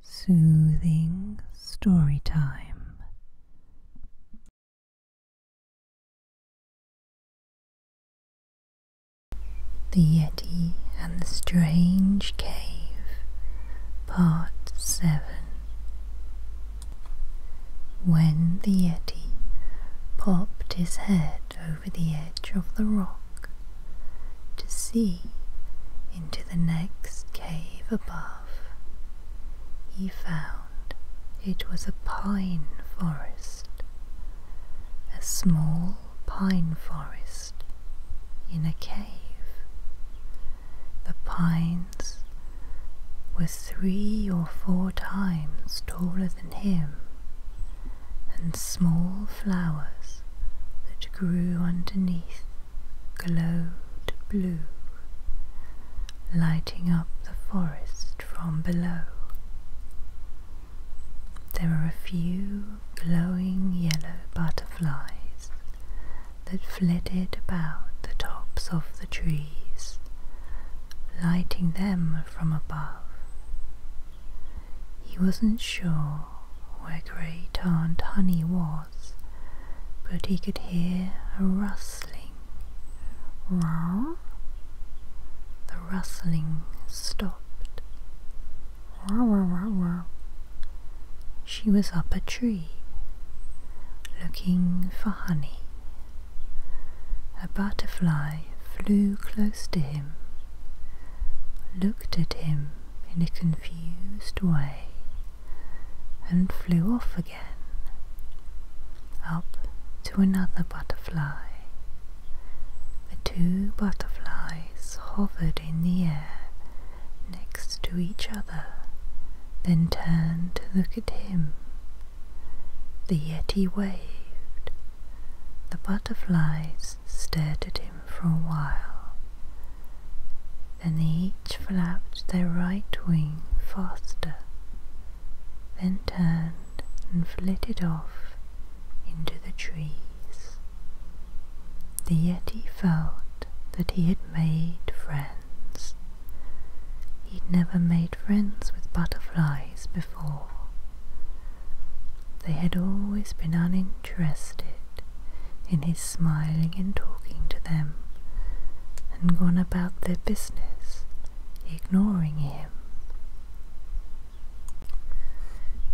Soothing story time. The Yeti and the Strange Cave, Part 7. When the Yeti popped his head over the edge of the rock, to see into the next cave above. He found it was a pine forest, a small pine forest in a cave. The pines were three or four times taller than him, and small flowers that grew underneath glowed blue, lighting up the forest from below. There were a few glowing yellow butterflies that flitted about the tops of the trees, lighting them from above. He wasn't sure where Great Aunt Honey was but he could hear a rustling. Rawr. The rustling stopped. Rawr, rawr, rawr. She was up a tree, looking for honey. A butterfly flew close to him, looked at him, in a confused way and flew off again up to another butterfly. The two butterflies hovered in the air next to each other, then turned to look at him. The Yeti waved. The butterflies stared at him for a while. Then they each flapped their right wing faster, then turned and flitted off into the trees. The Yeti felt that he had made friends. He'd never made friends with butterflies before. They had always been uninterested interested in his smiling and talking to them, and gone about their business, ignoring him.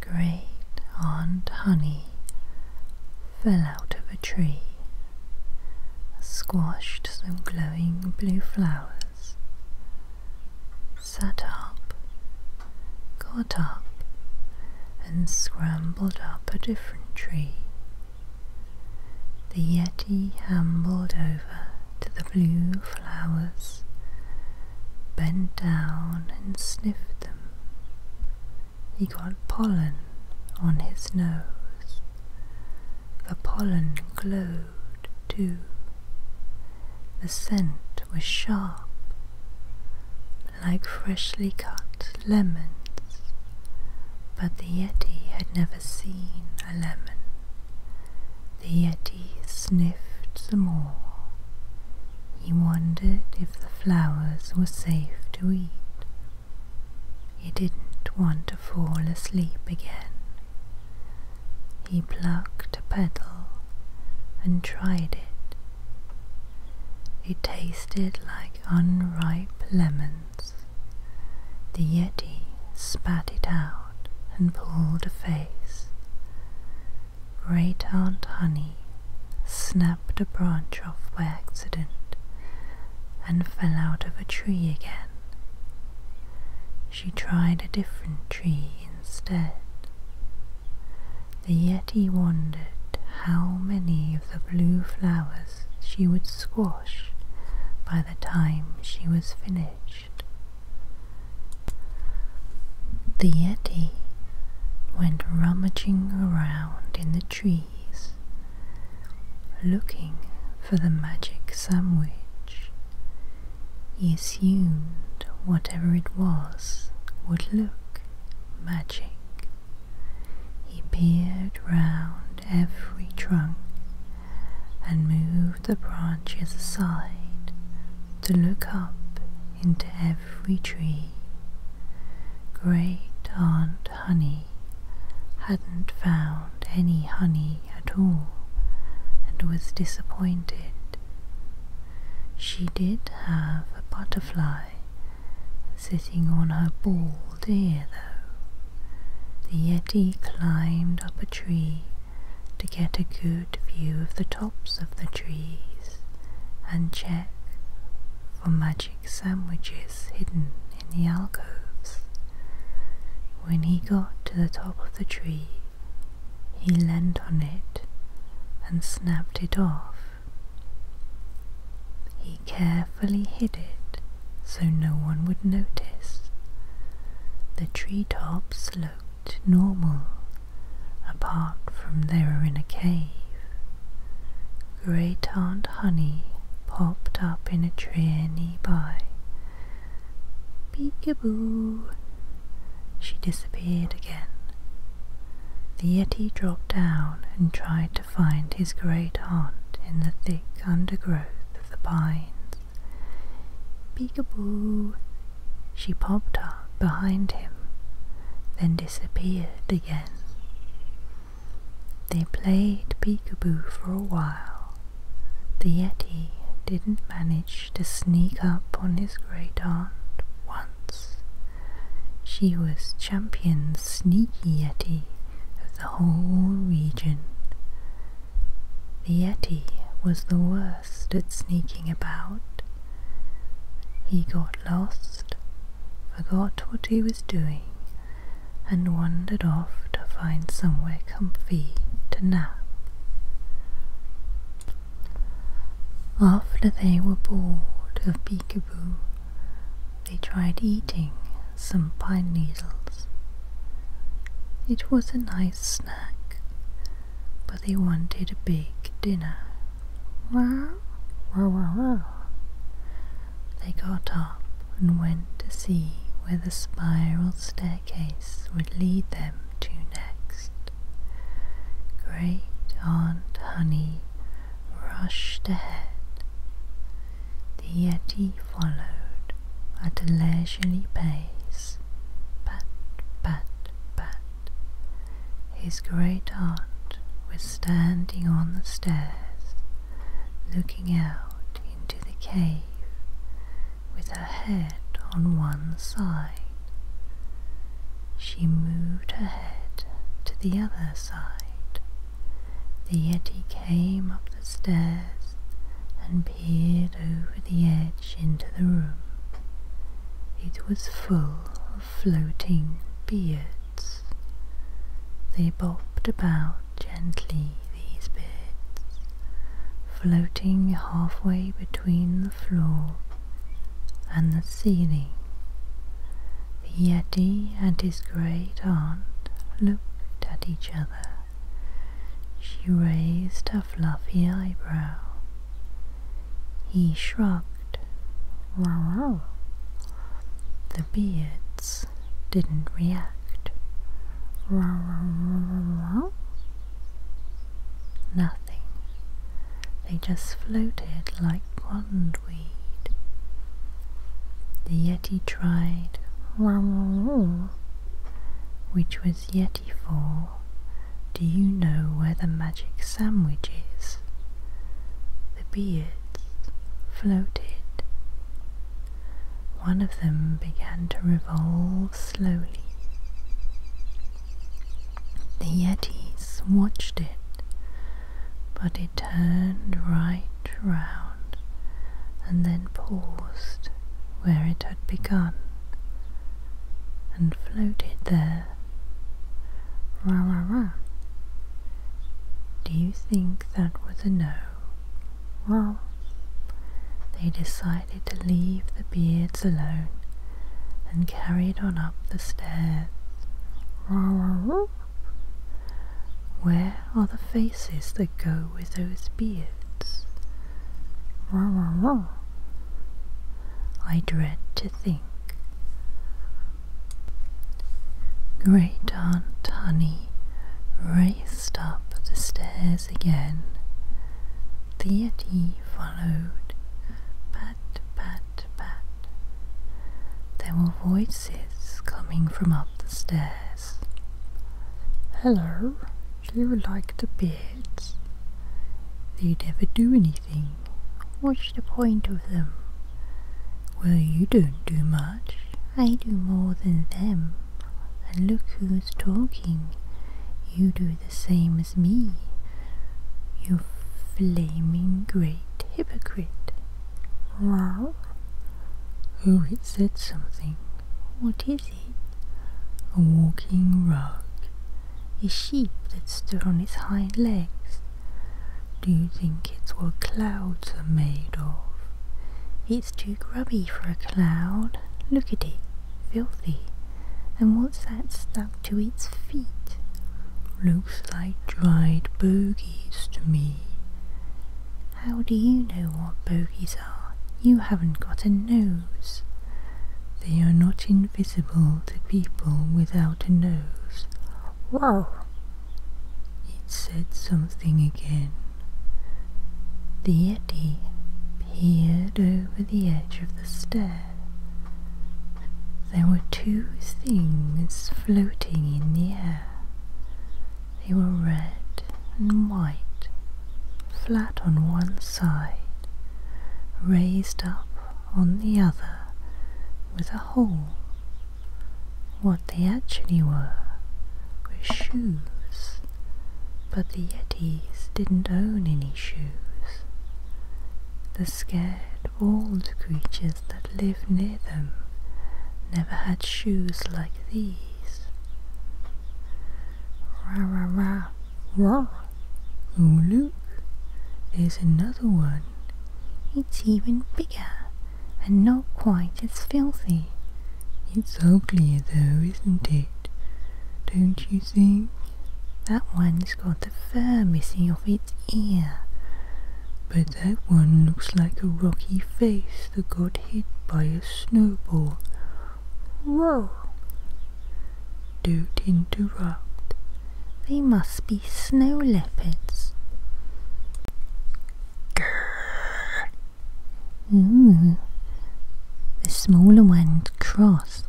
Great Aunt Honey fell out of a tree, squashed some glowing blue flowers, sat up, got up, and scrambled up up a different tree. The Yeti hobbled over to the blue flowers, bent down and sniffed them. He got pollen on his nose. The pollen glowed too. The scent was sharp, like freshly cut lemons, but the Yeti had never seen a lemon. The Yeti sniffed some more. He wondered if the flowers were safe to eat. He didn't want to fall asleep again. He plucked a petal and tried it it tasted like unripe lemons. The Yeti spat it out and pulled a face. Great Aunt Honey snapped a branch off by accident and fell out of a tree again. She tried a different tree instead the Yeti wondered how many of the blue flowers she would squash by the time she was finished. The Yeti went rummaging around in the trees, looking for the magic sandwich. He assumed whatever it was would look magic. He peered round every trunk and moved the branches aside to look up into every tree. Great Aunt Honey hadn't found any honey at all and was disappointed. She did have a butterfly sitting on her bald ear, though. The Yeti climbed up a tree to get a good view of the tops of the trees and check for magic sandwiches hidden in the alcoves. When he got to the top of the tree, he leant on it and snapped it off he carefully hid it so no one would notice. The tree tops looked normal, apart from they were in a cave. Great Aunt Honey popped up in a tree nearby. Peekaboo! She disappeared again. The Yeti dropped down and tried to find his great aunt in the thick undergrowth of the pines. Peekaboo! She popped up behind him, then disappeared again. They played peekaboo for a while. The Yeti didn't manage to sneak up on his great aunt once, she was champion sneaky Yeti of the whole region. The Yeti was the worst at sneaking about. He got lost, forgot what he was doing, and wandered off to find somewhere comfy to nap. After they were bored of Peekaboo, they tried eating some pine needles. It was a nice snack, but they wanted a big dinner. They got up and went to see where the spiral staircase would lead them to next. Great Aunt Honey rushed ahead. The Yeti followed at a leisurely pace, pat, pat, pat. His great aunt was standing on the stairs, looking out into the cave with her head on one side. She moved her head to the other side the Yeti came up the stairs and peered over the edge into the room. It was full of floating beards. They bobbed about gently, these beards, floating halfway between the floor and the ceiling. Yeti and his great aunt looked at each other. She raised her fluffy eyebrow. He shrugged. Wow. The beards didn't react. Wow. Nothing. They just floated like pondweed. The Yeti tried wah, wah, which was Yeti for Do you know where the magic sandwich is? The beads floated. One of them began to revolve slowly. The Yetis watched it but it turned right round and then paused where it had begun and floated there. Rah rah rah. Do you think that was a no? Well, they decided to leave the beards alone and carried on up the stairs. Rah rah rah. Where are the faces that go with those beards? Rah, rah, rah. I dread to think. Great Aunt Honey raced up the stairs again. The Yeti followed. Pat, pat, pat. There were voices coming from up the stairs. Hello, do you like the beds? They never do anything. What's the point of them? Well, you don't do much. I do more than them. And look who's talking. You do the same as me. You flaming great hypocrite. Wow. it said something. What is it? A walking rug. A sheep that stood on its hind legs. Do you think it's what clouds are made of? It's too grubby for a cloud. Look at it, filthy. And what's that stuck to its feet? Looks like dried bogies to me. How do you know what bogies are? You haven't got a nose. They are not invisible to people without a nose. Wow! It said something again. The Yeti peered over the edge of the stair. There were two things floating in the air. They were red and white, flat on one side, raised up on the other with a hole. What they actually were were shoes, but the Yetis didn't own any shoes. The scared, bald creatures that lived near them never had shoes like these. Ra ra ra ra. Oh look, there's another one. It's even bigger and not quite as filthy. It's uglier though, isn't it? Don't you think? That one's got the fur missing off its ear. But that one looks like a rocky face. Arthur got hit by a snowball. Whoa! Don't interrupt. They must be snow leopards. Grrr. Ooh. The smaller one crossed.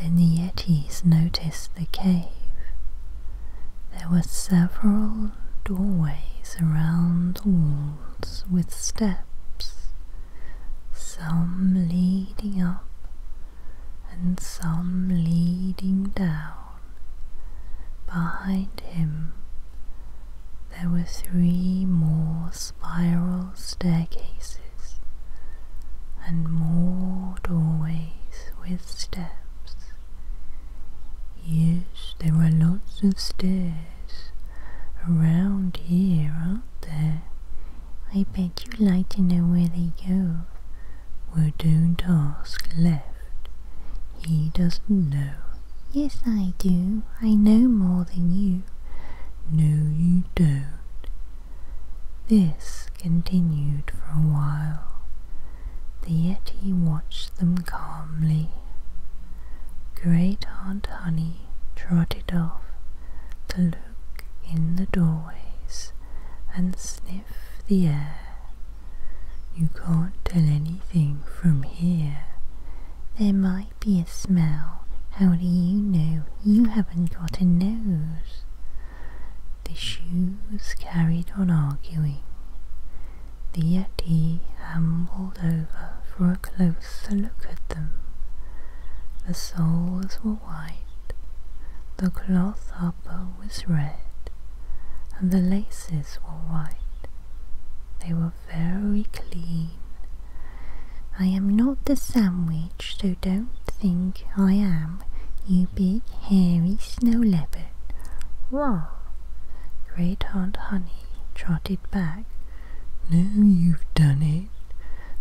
Then the Yetis noticed the cave. There were several doorways around the walls with steps, some leading up and some leading down. Behind him there were three more spiral staircases and more doorways with steps. Yes, there are lots of stairs around here, aren't there? I bet you'd like to know where they go. Well, don't ask left. He doesn't know. Yes, I do. I know more than you. No, you don't. This continued for a while. Yet he watched them calmly. Great Aunt Honey trotted off to look in the doorways and sniff the air. You can't tell anything from here. There might be a smell. How do you know? You haven't got a nose. The shoes carried on arguing. The Yeti ambled over for a closer look at them. The soles were white, the cloth upper was red, and the laces were white. They were very clean. I am not the sandwich, so don't think I am, you big hairy snow leopard. Roar! Great Aunt Honey trotted back. Now you've done it,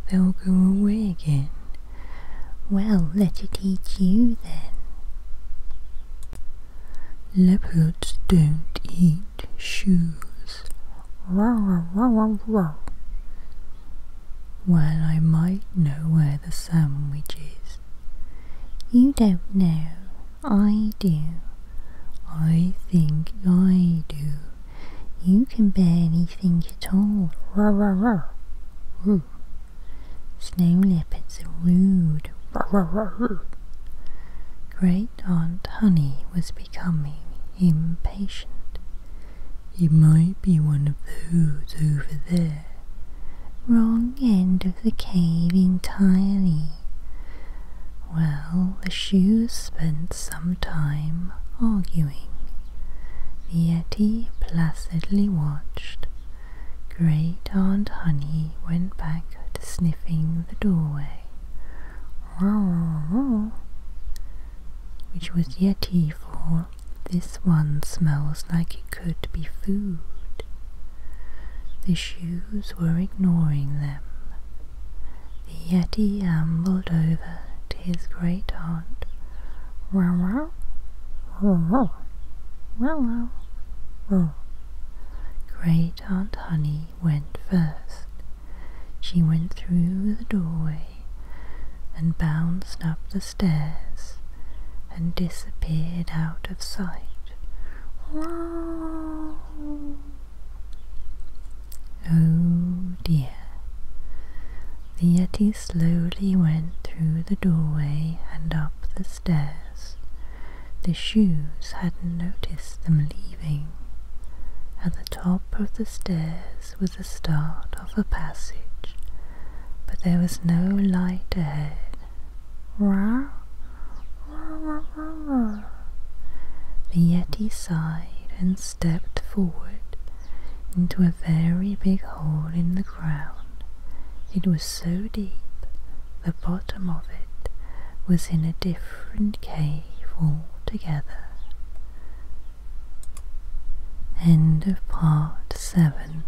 they'll go away again. Well, let it eat you then. Leopards don't eat shoes. Row, row, row, row. Well, I might know where the sandwich is. You don't know. I do. I think I do. You can bear anything at all. told. Rah, Ooh. Hmm. Snow leopards are rude. Rah, Great Aunt Honey was becoming impatient. You might be one of those over there wrong end of the cave entirely. Well, the shoes spent some time arguing. The Yeti placidly watched. Great Aunt Honey went back to sniffing the doorway. Which was Yeti for this one smells like it could be food. The shoes were ignoring them. The Yeti ambled over to his great aunt. Row row, row row, row Great Aunt Honey went first. She went through the doorway and bounced up the stairs and disappeared out of sight. Oh dear. The Yeti slowly went through the doorway and up the stairs. The shoes hadn't noticed them leaving. At the top of the stairs was the start of a passage, but there was no light ahead Rawr, rawr, rawr, the Yeti sighed and stepped forward into a very big hole in the ground. It was so deep, the bottom of it was in a different cave altogether. End of part 7